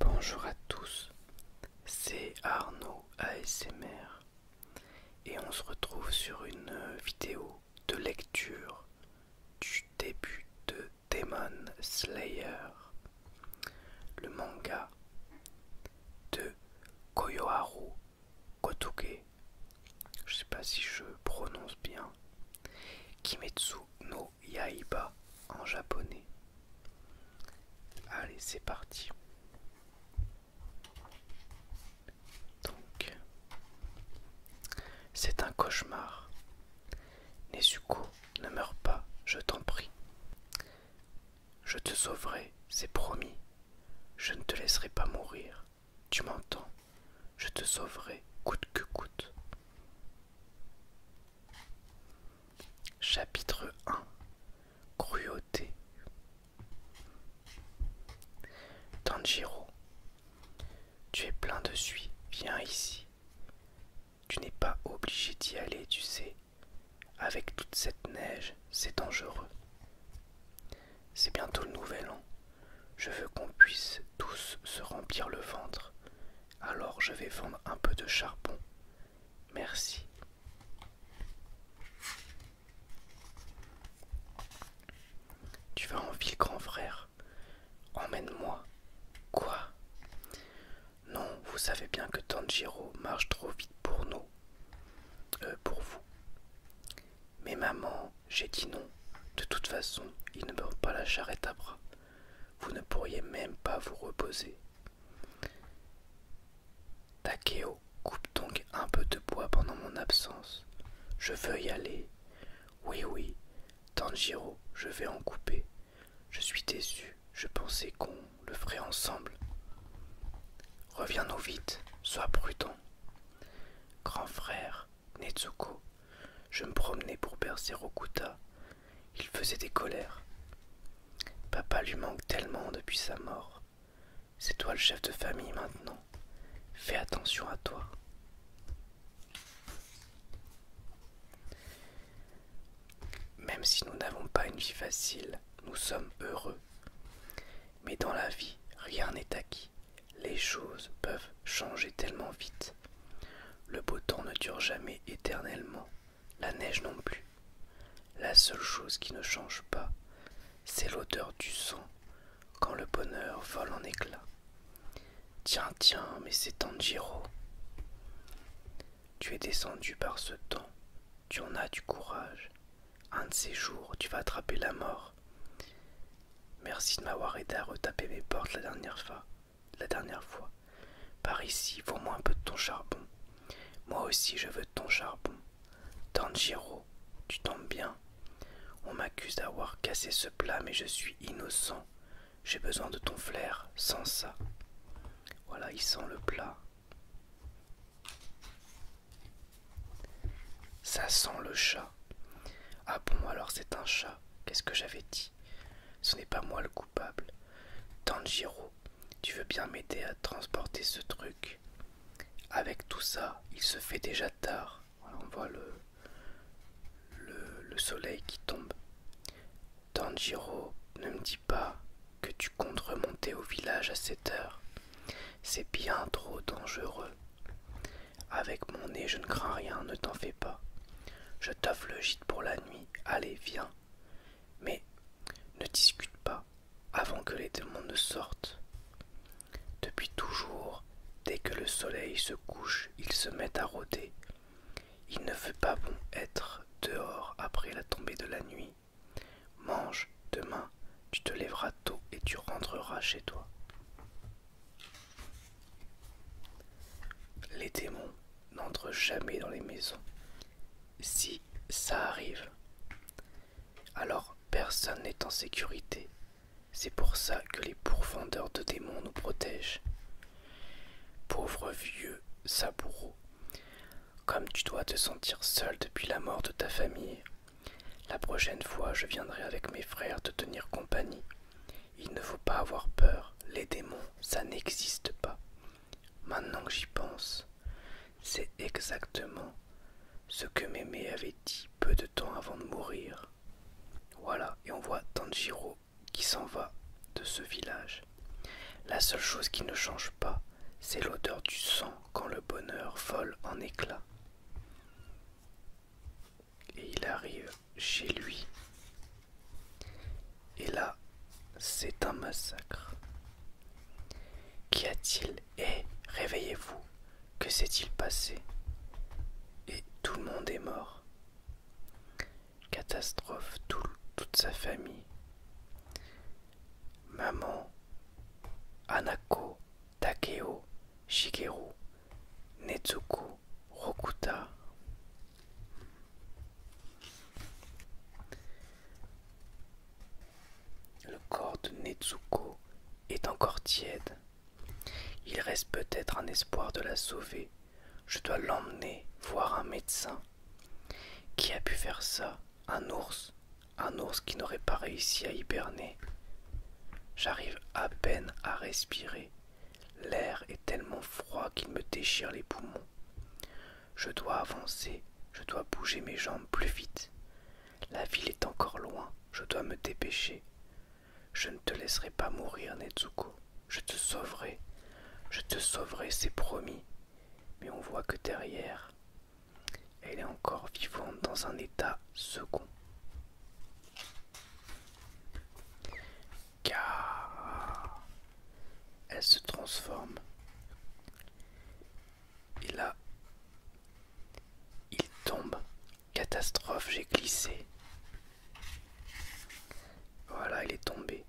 Bonjour à tous, c'est Arnaud ASMR et on se retrouve sur une vidéo de lecture du début de Demon Slayer le manga de Koyoharu Kotoke, je sais pas si je prononce bien, Kimetsu no Yaiba en japonais. Allez, c'est parti. Donc, c'est un cauchemar. Nezuko, ne meurs pas, je t'en prie. Je te sauverai, c'est promis. Je ne te laisserai pas mourir. Tu m'entends Je te sauverai, coûte que coûte. Chapitre 1 Cruauté Tanjiro, tu es plein de suie, viens ici. Tu n'es pas obligé d'y aller, tu sais. Avec toute cette neige, c'est dangereux. C'est bientôt le nouvel an. Je veux qu'on puisse tous se remplir le ventre. Alors je vais vendre un peu de charbon. Merci. Tu vas en ville, grand frère. Emmène-moi. Quoi non, vous savez bien que Tanjiro marche trop vite pour nous. Euh, pour vous. Mais maman, j'ai dit non. De toute façon, il ne meurt pas la charrette à bras. Vous ne pourriez même pas vous reposer. Takeo, coupe donc un peu de bois pendant mon absence. Je veux y aller. Oui, oui, Tanjiro, je vais en couper. Je suis déçu, je pensais qu'on le ferait ensemble. Reviens-nous vite, sois prudent. Grand frère, Netsuko, je me promenais pour bercer Rokuta. Il faisait des colères. Papa lui manque tellement depuis sa mort. C'est toi le chef de famille maintenant. Fais attention à toi. Même si nous n'avons pas une vie facile, nous sommes heureux. Mais dans la vie, rien n'est acquis. Les choses peuvent changer tellement vite. Le beau temps ne dure jamais éternellement, la neige non plus. La seule chose qui ne change pas, c'est l'odeur du sang quand le bonheur vole en éclats. Tiens, tiens, mais c'est Tanjiro. Tu es descendu par ce temps tu en as du courage. Un de ces jours, tu vas attraper la mort. Merci de m'avoir aidé à retaper mes portes la dernière fois. La dernière fois. Par ici, vends-moi un peu de ton charbon. Moi aussi, je veux ton charbon. Tanjiro, tu tombes bien. On m'accuse d'avoir cassé ce plat, mais je suis innocent. J'ai besoin de ton flair. Sans ça. Voilà, il sent le plat. Ça sent le chat. Ah bon, alors c'est un chat. Qu'est-ce que j'avais dit Ce n'est pas moi le coupable. Tanjiro, tu veux bien m'aider à transporter ce truc Avec tout ça, il se fait déjà tard. on voit le, le soleil qui tombe. Tanjiro, ne me dis pas que tu comptes remonter au village à cette heure. C'est bien trop dangereux. Avec mon nez, je ne crains rien, ne t'en fais pas. Je t'offre le gîte pour la nuit. Allez, viens. Mais ne discute pas avant que les démons ne sortent. Depuis toujours, dès que le soleil se couche, ils se mettent à rôder. Il ne fait pas bon être dehors après la tombée de la nuit. Mange, demain, tu te lèveras tôt et tu rentreras chez toi. Les démons n'entrent jamais dans les maisons. Si ça arrive, alors personne n'est en sécurité. C'est pour ça que les pourfendeurs de démons nous protègent. Pauvre vieux Saburo, comme tu dois te sentir seul depuis la mort de ta famille, la prochaine fois je viendrai avec mes frères te tenir compagnie. Il ne faut pas avoir peur, les démons, ça n'existe pas. Maintenant que j'y pense, c'est exactement ce que Mémé avait dit peu de temps avant de mourir. Voilà, et on voit Tanjiro qui s'en va de ce village. La seule chose qui ne change pas, c'est l'odeur du sang quand le bonheur vole en éclats. Et il arrive chez lui. Et là, c'est un massacre. Qu'y a-t-il Et eh, réveillez-vous. Que s'est-il passé Et tout le monde est mort catastrophe toute sa famille. Maman, Anako Takeo, Shigeru, Nezuko, Rokuta. Le corps de Netsuko est encore tiède. Il reste peut-être un espoir de la sauver. Je dois l'emmener voir un médecin. Qui a pu faire ça Un ours Un ours qui n'aurait pas réussi à hiberner J'arrive à peine à respirer. L'air est tellement froid qu'il me déchire les poumons. Je dois avancer, je dois bouger mes jambes plus vite. La ville est encore loin, je dois me dépêcher. Je ne te laisserai pas mourir, Nezuko. Je te sauverai. Je te sauverai, c'est promis mais on voit que derrière, elle est encore vivante dans un état second. Car elle se transforme. Et là, il tombe. Catastrophe, j'ai glissé. Voilà, elle est tombée.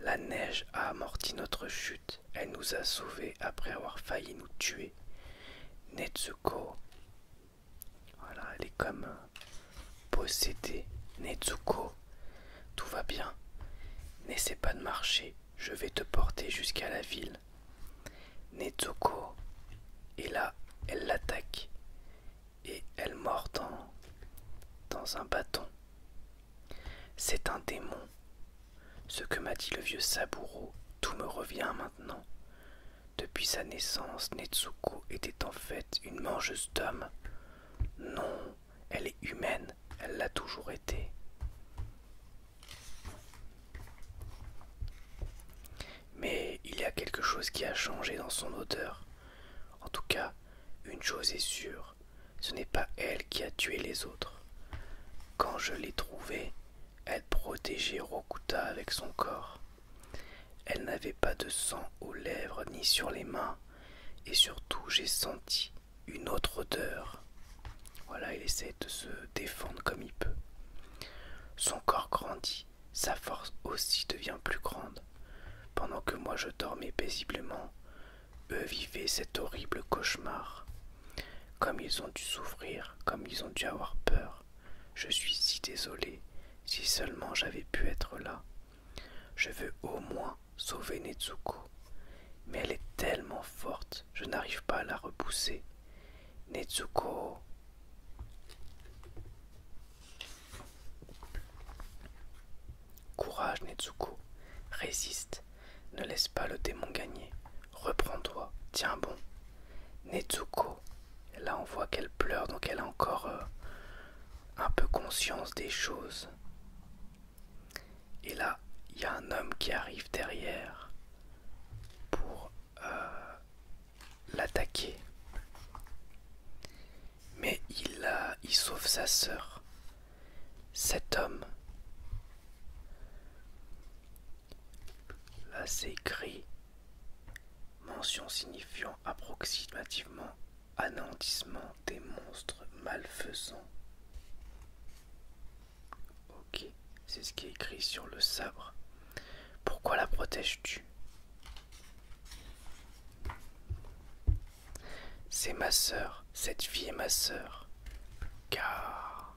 La neige a amorti notre chute. Elle nous a sauvés après avoir failli nous tuer. Netsuko. Voilà, elle est comme possédée. Netsuko. Tout va bien. N'essaie pas de marcher. Je vais te porter jusqu'à la ville. Netsuko. Et là, elle l'attaque. Et elle mord dans, dans un bâton. C'est un démon. Ce que m'a dit le vieux Saburo, tout me revient maintenant. Depuis sa naissance, Netsuko était en fait une mangeuse d'hommes. Non, elle est humaine, elle l'a toujours été. Mais il y a quelque chose qui a changé dans son odeur. En tout cas, une chose est sûre, ce n'est pas elle qui a tué les autres. Quand je l'ai trouvée, elle protégeait Rokuta avec son corps. Elle n'avait pas de sang aux lèvres ni sur les mains, et surtout j'ai senti une autre odeur. Voilà, il essaie de se défendre comme il peut. Son corps grandit, sa force aussi devient plus grande. Pendant que moi je dormais paisiblement, eux vivaient cet horrible cauchemar. Comme ils ont dû souffrir, comme ils ont dû avoir peur. Je suis si désolé, si seulement j'avais pu être là. Je veux au moins sauver Netsuko. Mais elle est tellement forte, je n'arrive pas à la repousser. Netsuko. Courage, Netsuko, résiste, ne laisse pas le démon gagner, reprends-toi, tiens bon. Netsuko, là on voit qu'elle pleure, donc elle a encore euh, un peu conscience des choses. Et là, il y a un homme qui arrive derrière pour euh, l'attaquer mais il, a, il sauve sa sœur. Cet homme. Là c'est écrit. Mention signifiant approximativement anéantissement des monstres malfaisants. Ok, c'est ce qui est écrit sur le sabre. Pourquoi la protèges-tu c'est ma sœur, cette fille est ma sœur. Car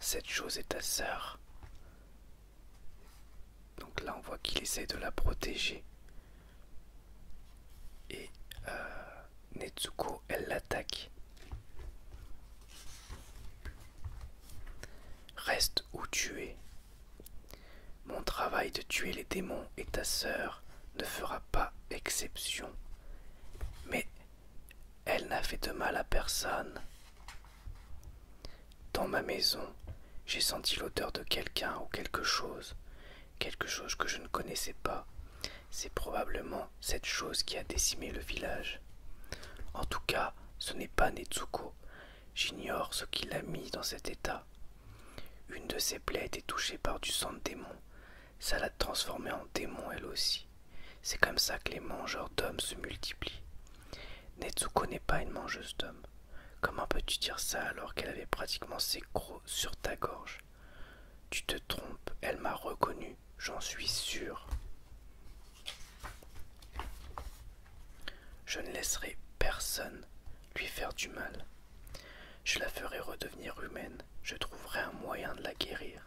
cette chose est ta sœur. Donc là, on voit qu'il essaie de la protéger. Et euh, Netsuko, elle l'attaque. Reste où tu es, mon travail de tuer les démons et ta sœur ne fera pas exception. Mais elle n'a fait de mal à personne. Dans ma maison, j'ai senti l'odeur de quelqu'un ou quelque chose, quelque chose que je ne connaissais pas. C'est probablement cette chose qui a décimé le village. En tout cas, ce n'est pas Netsuko. J'ignore ce qui l'a mis dans cet état. Une de ses plaies était touchée par du sang de démon. Ça l'a transformée en démon elle aussi. C'est comme ça que les mangeurs d'hommes se multiplient. Netsuko connaît pas une mangeuse d'hommes. Comment peux-tu dire ça alors qu'elle avait pratiquement ses crocs sur ta gorge Tu te trompes, elle m'a reconnu, j'en suis sûr. Je ne laisserai personne lui faire du mal. Je la ferai redevenir humaine, je trouverai un moyen de la guérir.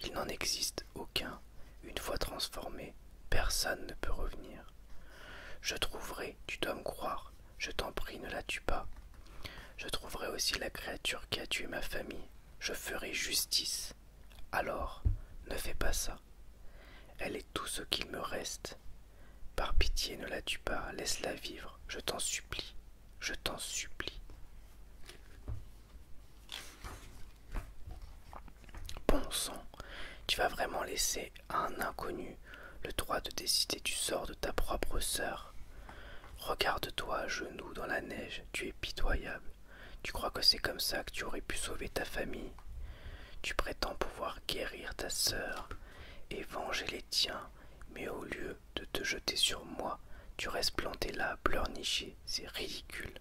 Il n'en existe aucun. Une fois transformée, personne ne peut revenir. Je trouverai, tu dois me croire, je t'en prie, ne la tue pas. Je trouverai aussi la créature qui a tué ma famille. Je ferai justice. Alors, ne fais pas ça. Elle est tout ce qu'il me reste. Par pitié, ne la tue pas, laisse-la vivre, je t'en supplie, je t'en supplie. Bon sang, tu vas vraiment laisser à un inconnu le droit de décider du sort de ta propre sœur. Regarde-toi à genoux dans la neige, tu es pitoyable. Tu crois que c'est comme ça que tu aurais pu sauver ta famille tu prétends pouvoir guérir ta sœur et venger les tiens, mais au lieu de te jeter sur moi, tu restes planté là, pleurnicher, c'est ridicule.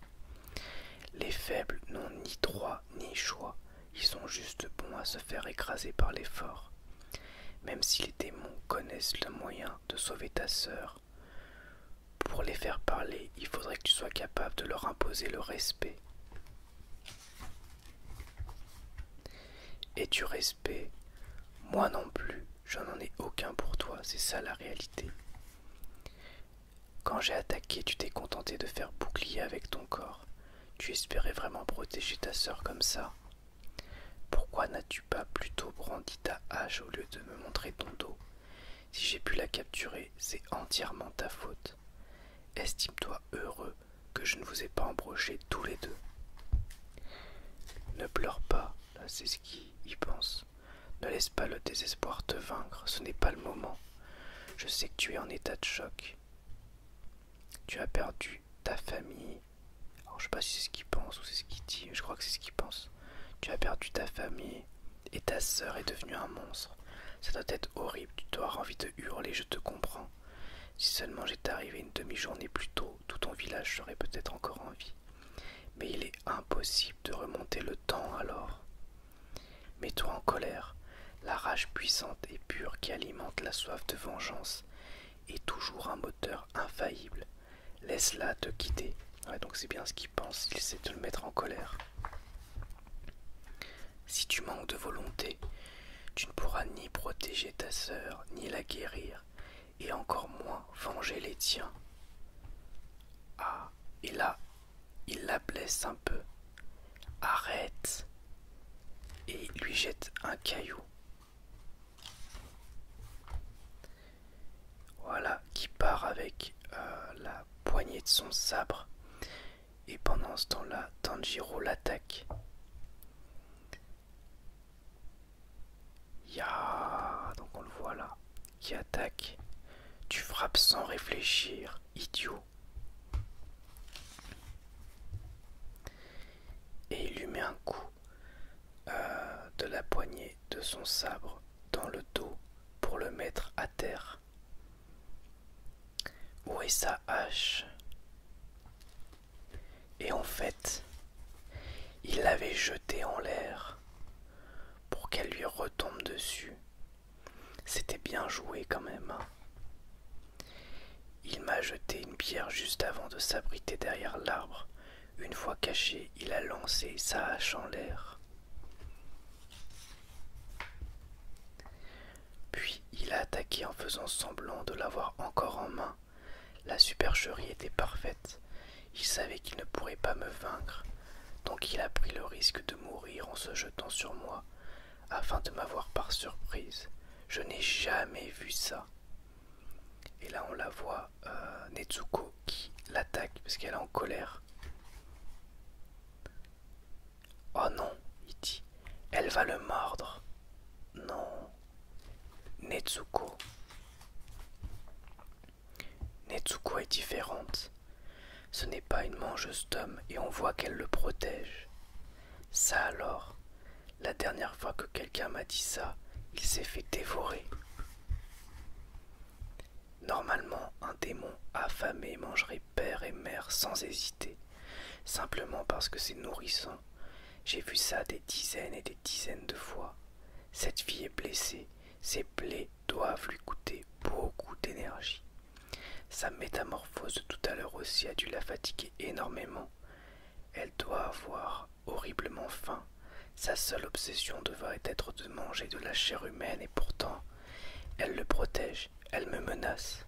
Les faibles n'ont ni droit ni choix, ils sont juste bons à se faire écraser par les forts. Même si les démons connaissent le moyen de sauver ta sœur, pour les faire parler, il faudrait que tu sois capable de leur imposer le respect. Et du respect, moi non plus, je n'en ai aucun pour toi, c'est ça la réalité. Quand j'ai attaqué, tu t'es contenté de faire bouclier avec ton corps. Tu espérais vraiment protéger ta sœur comme ça. Pourquoi n'as-tu pas plutôt brandi ta hache au lieu de me montrer ton dos Si j'ai pu la capturer, c'est entièrement ta faute. Estime-toi heureux que je ne vous ai pas embroché tous les deux. Ne pleure pas, c'est ce qui y pense. Ne laisse pas le désespoir te vaincre, ce n'est pas le moment. Je sais que tu es en état de choc. Tu as perdu ta famille. Alors je sais pas si c'est ce qu'il pense ou c'est ce qu'il dit, je crois que c'est ce qu'il pense. Tu as perdu ta famille et ta sœur est devenue un monstre. Ça doit être horrible, tu dois avoir envie de hurler, je te comprends. Si seulement j'étais arrivé une demi-journée plus tôt, tout ton village serait peut-être encore en vie. Mais il est impossible de remonter le temps alors. Mets-toi en colère, la rage puissante et pure qui alimente la soif de vengeance est toujours un moteur infaillible. Laisse-la te quitter. donc c'est bien ce qu'il pense, il sait te le mettre en colère. Si tu manques de volonté, tu ne pourras ni protéger ta sœur, ni la guérir, et encore moins venger les tiens. Ah, et là, il la blesse un peu. Arrête Et lui jette un caillou. Voilà, qui part avec euh, la poignée de son sabre. Et pendant ce temps-là, Tanjiro l'attaque. Ya, donc on le voit là, qui attaque. Tu frappes sans réfléchir, idiot. Et il lui met un coup euh, de la poignée de son sabre dans le dos pour le mettre à terre. Où est sa hache Et en fait, il l'avait jetée en l'air pour qu'elle lui retombe dessus. C'était bien joué quand même. Hein. Il m'a jeté une pierre juste avant de s'abriter derrière l'arbre. Une fois caché, il a lancé sa hache en l'air. Puis il a attaqué en faisant semblant de l'avoir encore en main. La supercherie était parfaite. Il savait qu'il ne pourrait pas me vaincre, donc il a pris le risque de mourir en se jetant sur moi, afin de m'avoir par surprise. Je n'ai jamais vu ça. Et là on la voit, euh, Netsuko qui l'attaque parce qu'elle est en colère. Oh non, il dit, elle va le mordre. Non. Netsuko. Netsuko est différente. Ce n'est pas une mangeuse d'hommes et on voit qu'elle le protège. Ça alors, la dernière fois que quelqu'un m'a dit ça, il s'est fait dévorer. Normalement, un démon affamé mangerait père et mère sans hésiter, simplement parce que c'est nourrissant. J'ai vu ça des dizaines et des dizaines de fois. Cette fille est blessée, ses plaies doivent lui coûter beaucoup d'énergie. Sa métamorphose tout à l'heure aussi a dû la fatiguer énormément. Elle doit avoir horriblement faim. Sa seule obsession devrait être de manger de la chair humaine et pourtant elle le protège, elle me menace.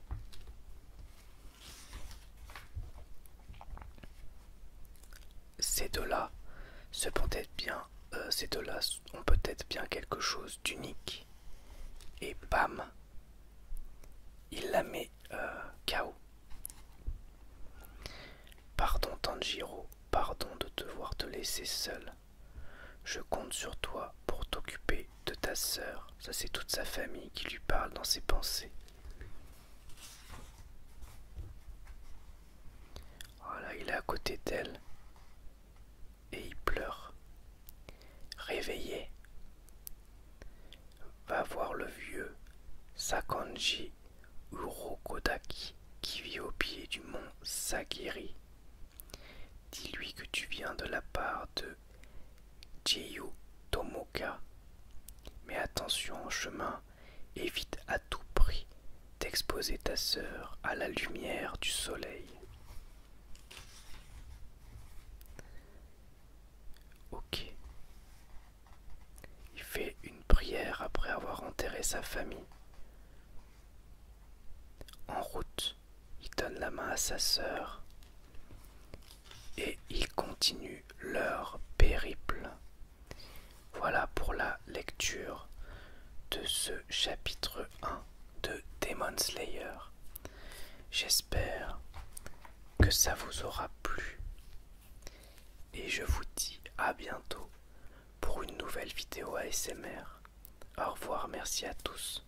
Ces deux-là peut-être bien, euh, ces deux-là ont peut-être bien quelque chose d'unique. Et bam, il la met euh, KO. Pardon Tanjiro, pardon de devoir te laisser seul. Je compte sur toi pour t'occuper de ta sœur. Ça, c'est toute sa famille qui lui parle dans ses pensées. Voilà, il est à côté d'elle. Et il pleure. Réveillé. Va voir le vieux Sakanji Urokodaki qui vit au pied du mont Sagiri dis-lui que tu viens de la part de Jiyu Tomoka. Mais attention en chemin, évite à tout prix d'exposer ta sœur à la lumière du soleil. Ok. Il fait une prière après avoir enterré sa famille. En route, il donne la main à sa sœur et ils continuent leur périple. Voilà pour la lecture de ce chapitre 1 de Demon Slayer. J'espère que ça vous aura plu et je vous dis à bientôt pour une nouvelle vidéo ASMR. Au revoir, merci à tous.